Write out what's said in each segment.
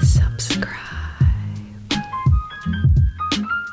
Subscribe. Hello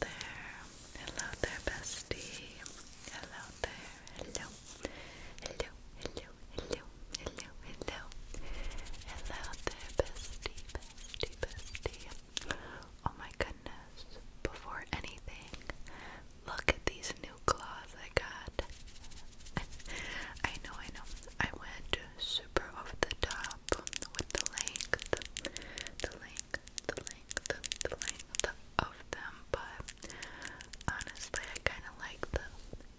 there. Hello there, bestie. Hello there. Hello. Hello. Hello. Hello. Hello. Hello. there, bestie. Bestie. Bestie. Oh my goodness. Before anything, look at these new claws I got. I know, I know. I went super over the top with the length. The length the length, the length of them, but honestly, I kind of like the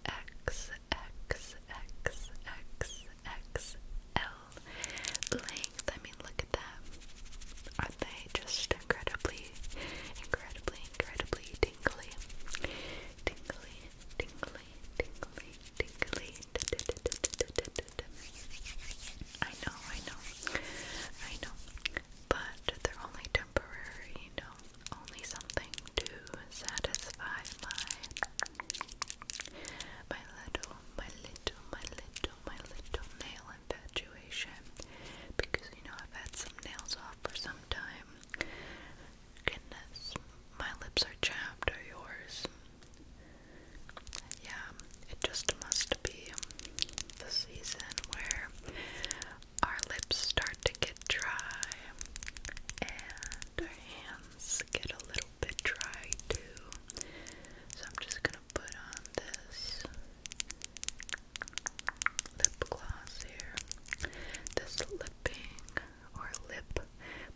X, X, X, X, X, L length. I mean, look at that. are they just incredibly, incredibly, incredibly tingly? Tingly, tingly, tingly, tingly. I know, I know, I know, but they're only temporary, you know, only something to satisfy my my little, my little, my little, my little nail infatuation. Because you know I've had some nails off for some time. Goodness, my lips are chapped. Are yours? Yeah, it just must be the season where our lips start to get dry and our hands get a little bit dry too. So I'm just gonna put on this lip gloss here. This lipping or lip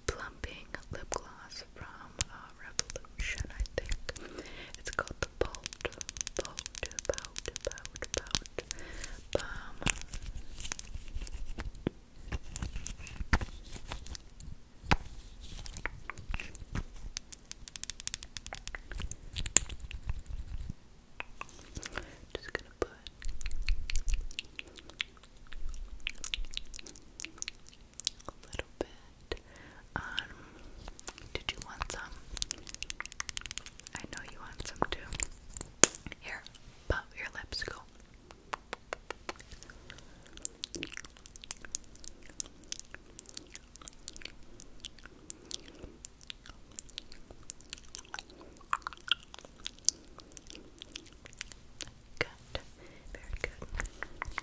plumping lip gloss from uh, Revolution, I think. It's called Pout, pout, pout, pout, pout, Just gonna put. A little bit um, did you want some? I know you want some too. Here, pop your lips. Go. Good. Very good.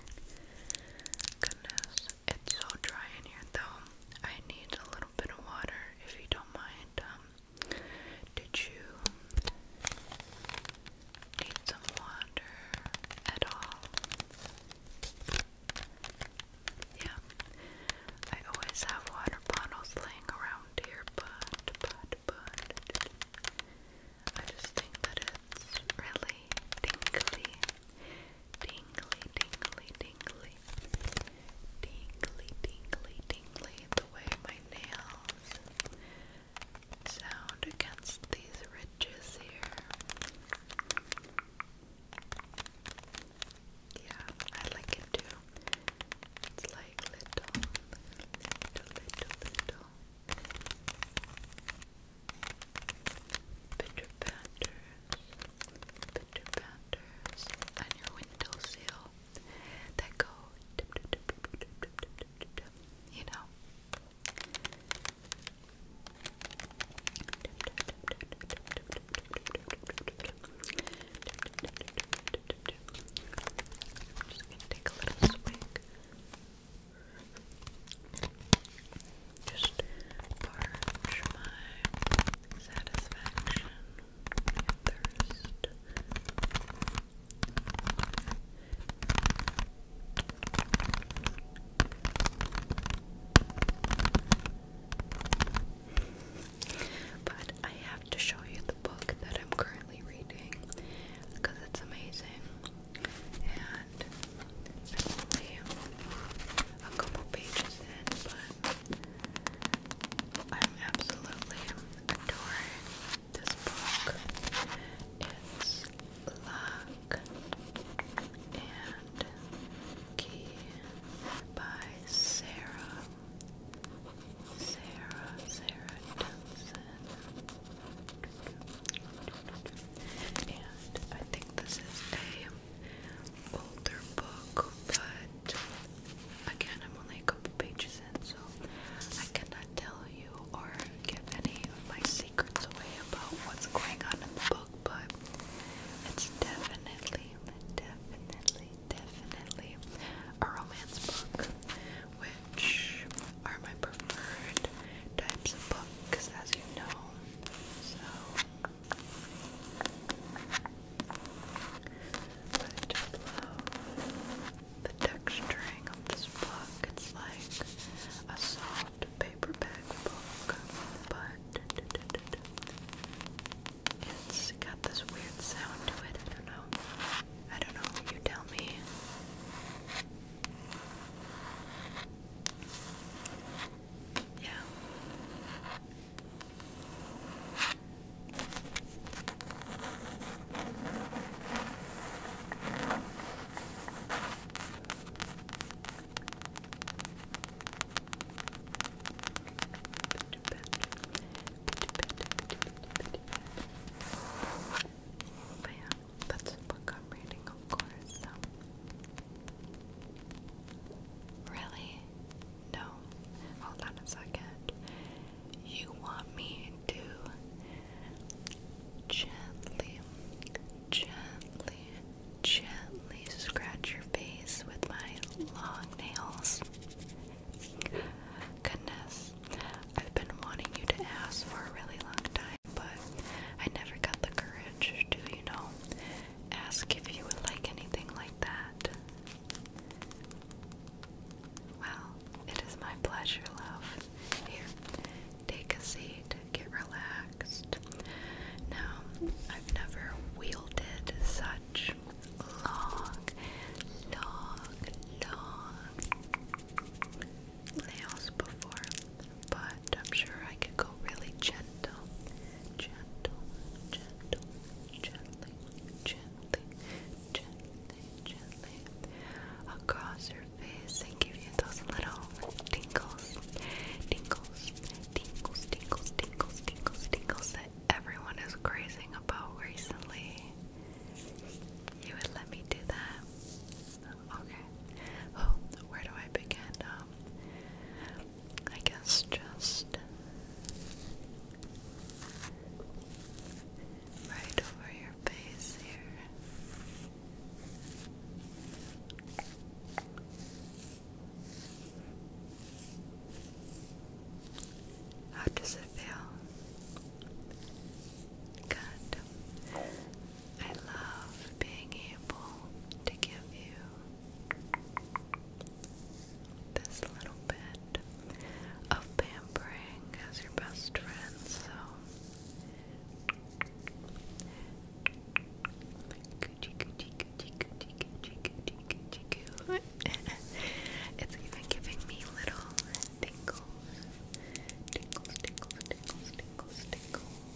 Goodness, it's so dry in here though. I need a little bit of water if you don't mind. Um, did you need some water at all? Yeah, I always have water bottles laying around here, but, but, but, I just think that it's really tingly tingly, tingly, tingly, tingly, tingly, tingly the way my nails sound against these ridges here. Yeah, I like it too. It's like little, little, little, little pitter patters, pitter patters on your that go, you know. I'm just gonna take a little swig just parch my satisfaction thirst. But I have to show you the book that I'm currently reading because it's amazing. And I only a couple pages in, but I'm absolutely adoring this book. It's Lock and Key by Sarah. Sarah, Sarah Thompson. And I think this is a older book, but again, I'm only a couple pages in, so I cannot tell you or give any of my secrets away about what's going on in the book, but it's definitely, definitely, definitely a romance book, which are my preferred types of books, as you know. So, but just love the texturing of this book. It's like a soft paperback book, but it's got this weird sound to it. I don't know. I don't know. You tell me. Yeah. But that's a book I'm reading, of course. Really? No. Hold on a second. You want me to gently, gently, gently scratch your face with my long nails? Goodness, I've been wanting you to ask for a really long time, but I never got the courage to, you know, ask if you would like anything like that. Well, it is my pleasure, love. Here, take a seat, get relaxed. Now, I've never wielded such long, long, long nails before, but but I'm sure I could go really gentle, gentle, gentle, gently, gently, gently, gently across your face and give you those little tingles, tingles, tingles, tingles, tingles, tingles, tingles that everyone is crazing about recently. You would let me do that? Okay. Oh, where do I begin? Um, I guess just right over your face here. How does it feel? Good. I love being able to give you this little bit of pampering as your best friend, so it's even giving me little tingles. Tingles, tingles, tingles, tingles, tingles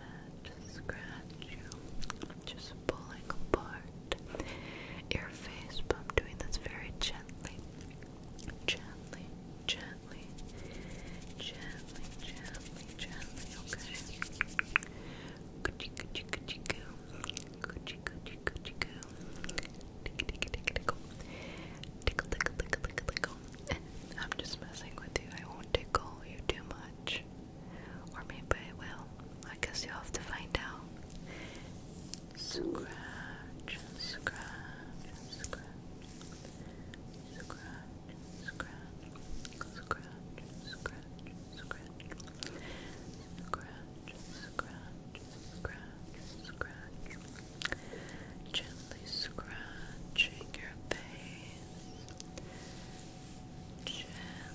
scratch you. Just pulling apart your face, but I'm doing this very gently. Gently, gently, gently, gently, gently, okay? Coochie, coochie, coochie, goo. Coochie, coochie, coochie, goo. tickle, tickle, tickle, tickle, tickle. I'm just messing with you. I won't tickle you too much. Or maybe it will. I guess you'll have to find out. Scratch, scratch, scratch. Scratch, scratch, scratch, scratch, scratch. Scratch, scratch, scratch, Gently scratching your face. Gently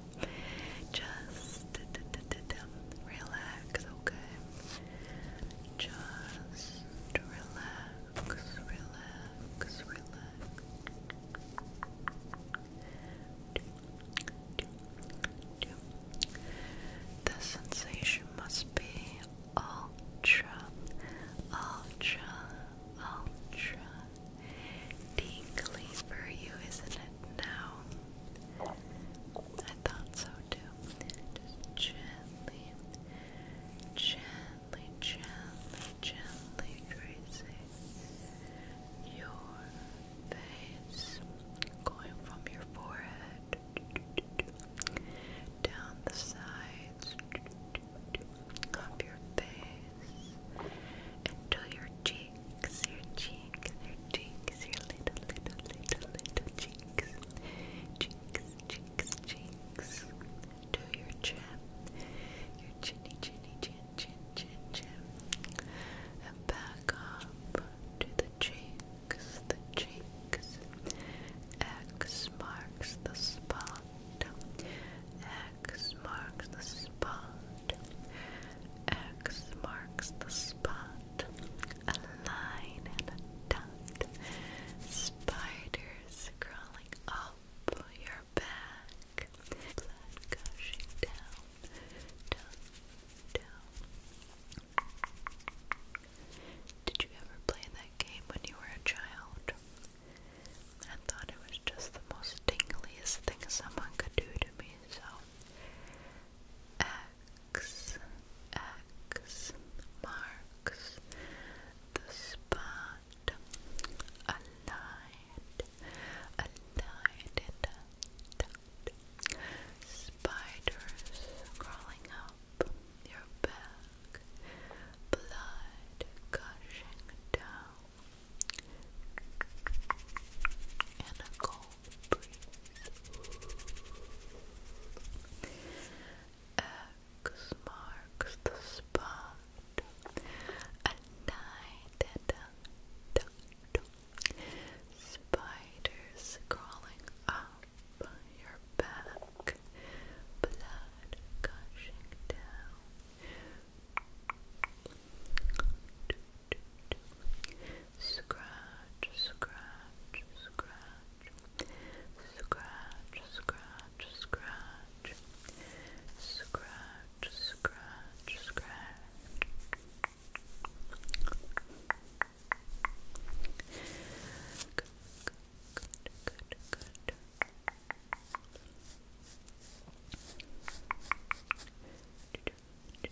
Just relax, okay? Just relax, relax, relax. The sensation must be ultra, ultra, ultra tingly for you, isn't it now? I thought so too. gently, gently, gently, gently tracing your face, going from your forehead down the sides of your face until your cheeks cheeks, your cheeks, your cheeks, your little, little, little, little cheeks, cheeks, cheeks, cheeks, to your chin, your chinny, chinny, chin, chin, chin, chin, and back up to the cheeks, the cheeks. X marks the spot. X marks the spot. X marks the spot. A line and a dot. Spiders crawling up your back. Blood gushing down, down, down. Did you ever play that game when you were a child? I thought it was just the most tingliest thing someone could do to me, so X X marks the spot aligned, aligned and tucked. Spiders crawling up your back, blood gushing down and a cold breeze. marks the spot. A night and spiders crawling up your back, blood gushing down. Scratch, scratch, scratch, scratch, scratch, scratch, scratch, scratch, scratch. Good, good, good, good. Do, do, very,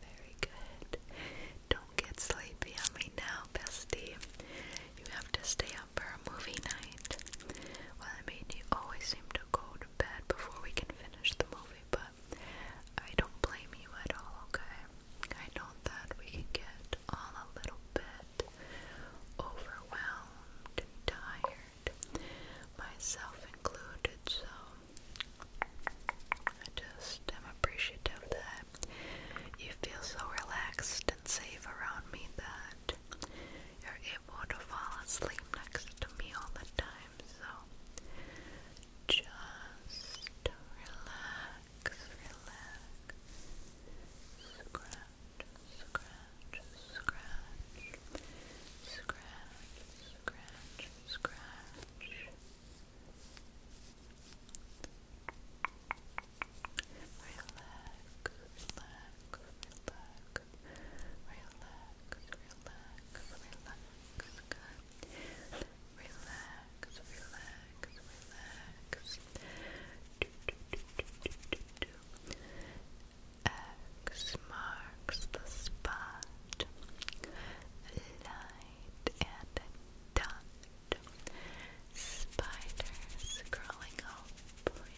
very good. Don't get sleepy on me now, bestie. You have to stay up for a movie night. Well, I mean, you always seem to go to bed before we can finish the movie, but I don't blame you at all, okay? I know that we can get all a little bit overwhelmed and tired, myself included, so I just am appreciative that you feel so relaxed and safe around me that you're able to fall asleep next to me all the time, so just relax, relax. Scratch, scratch, scratch. Scratch, scratch, scratch. Relax, relax, relax. Relax, relax, relax. Good, Relax, relax, relax. X marks the spot. Light and dot. Spiders crawling up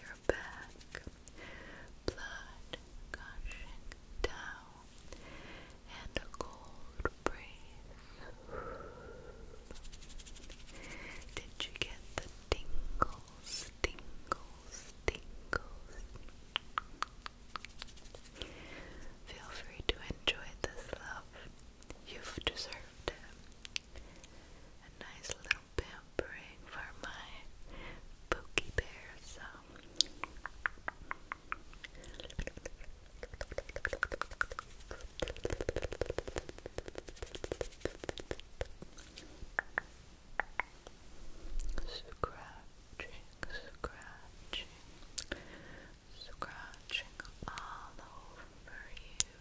your back. Blood gushing down and a cold breeze. Did you get the tingles, tingles, tingles? Feel free to enjoy this love. You've deserved it. A nice little pampering for my Pookie Bear self. Scratching, scratching, scratching all over you.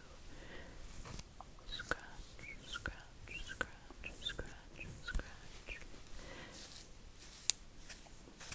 Scratch, scratch, scratch, scratch, scratch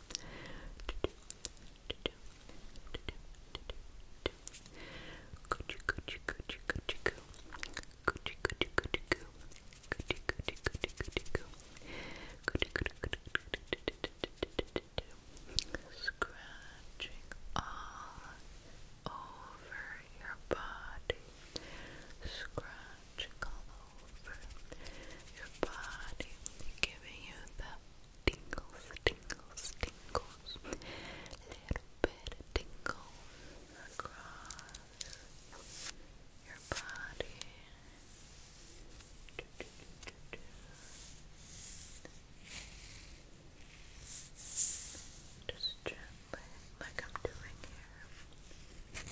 Scratching all over your body. Scratching all over your body, giving you that tingles, tingles, tingles, little bit of tingles across your body. Just gently, like I'm doing here.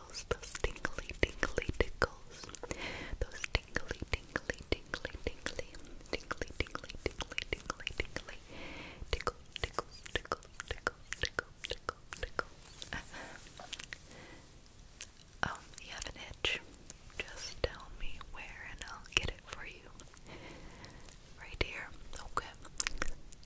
tickles, those tingly, tingly tickles, those tingly, tingly, tingly, tingly, tingly, tingly, tingly, tingly, tingly, tickle, tickle, tickle, tickle, tickle, tickle, tickle. Uh-huh. Um, you have an itch? Just tell me where, and I'll get it for you. Right here. Okay.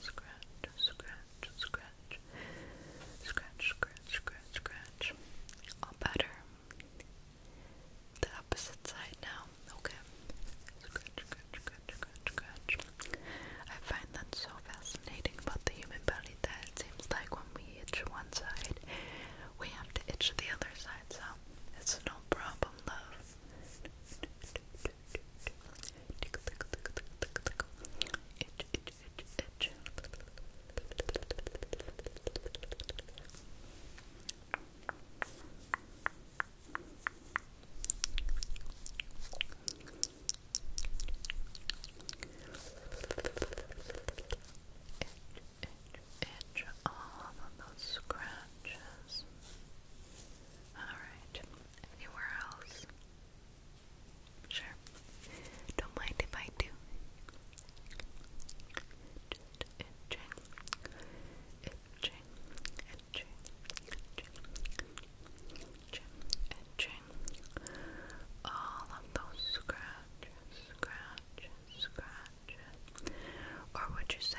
scratch, scratch, scratch, scratch, scratch, scratch, scratch. All better. The opposite side now. Okay. Scratch, scratch, scratch, scratch, scratch. I find that so fascinating about the human body that it seems like when we itch one side, we have to itch the other side. So it's no problem, love itch, itch, itch. Itch, itch, itch all of those scratches. Itch, Alright. Anywhere else? Sure. Don't mind if I do. All of those scratches, scratches, scratches. Or would you say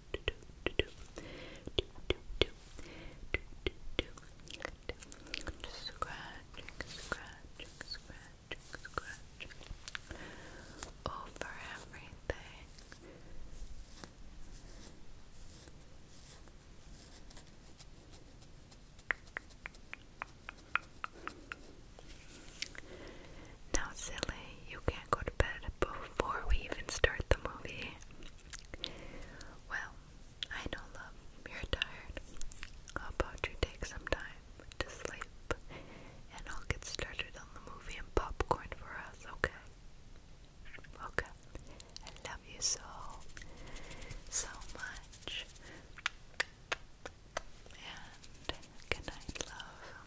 Just scratching, scratching, scratching, scratching over everything. Now, silly, you can't go to bed before we even start the movie. Well, I know, love, you're tired. How about you take some time to sleep and I'll get started on the movie and popcorn for us, okay? Okay. I love you so, so much. And good love.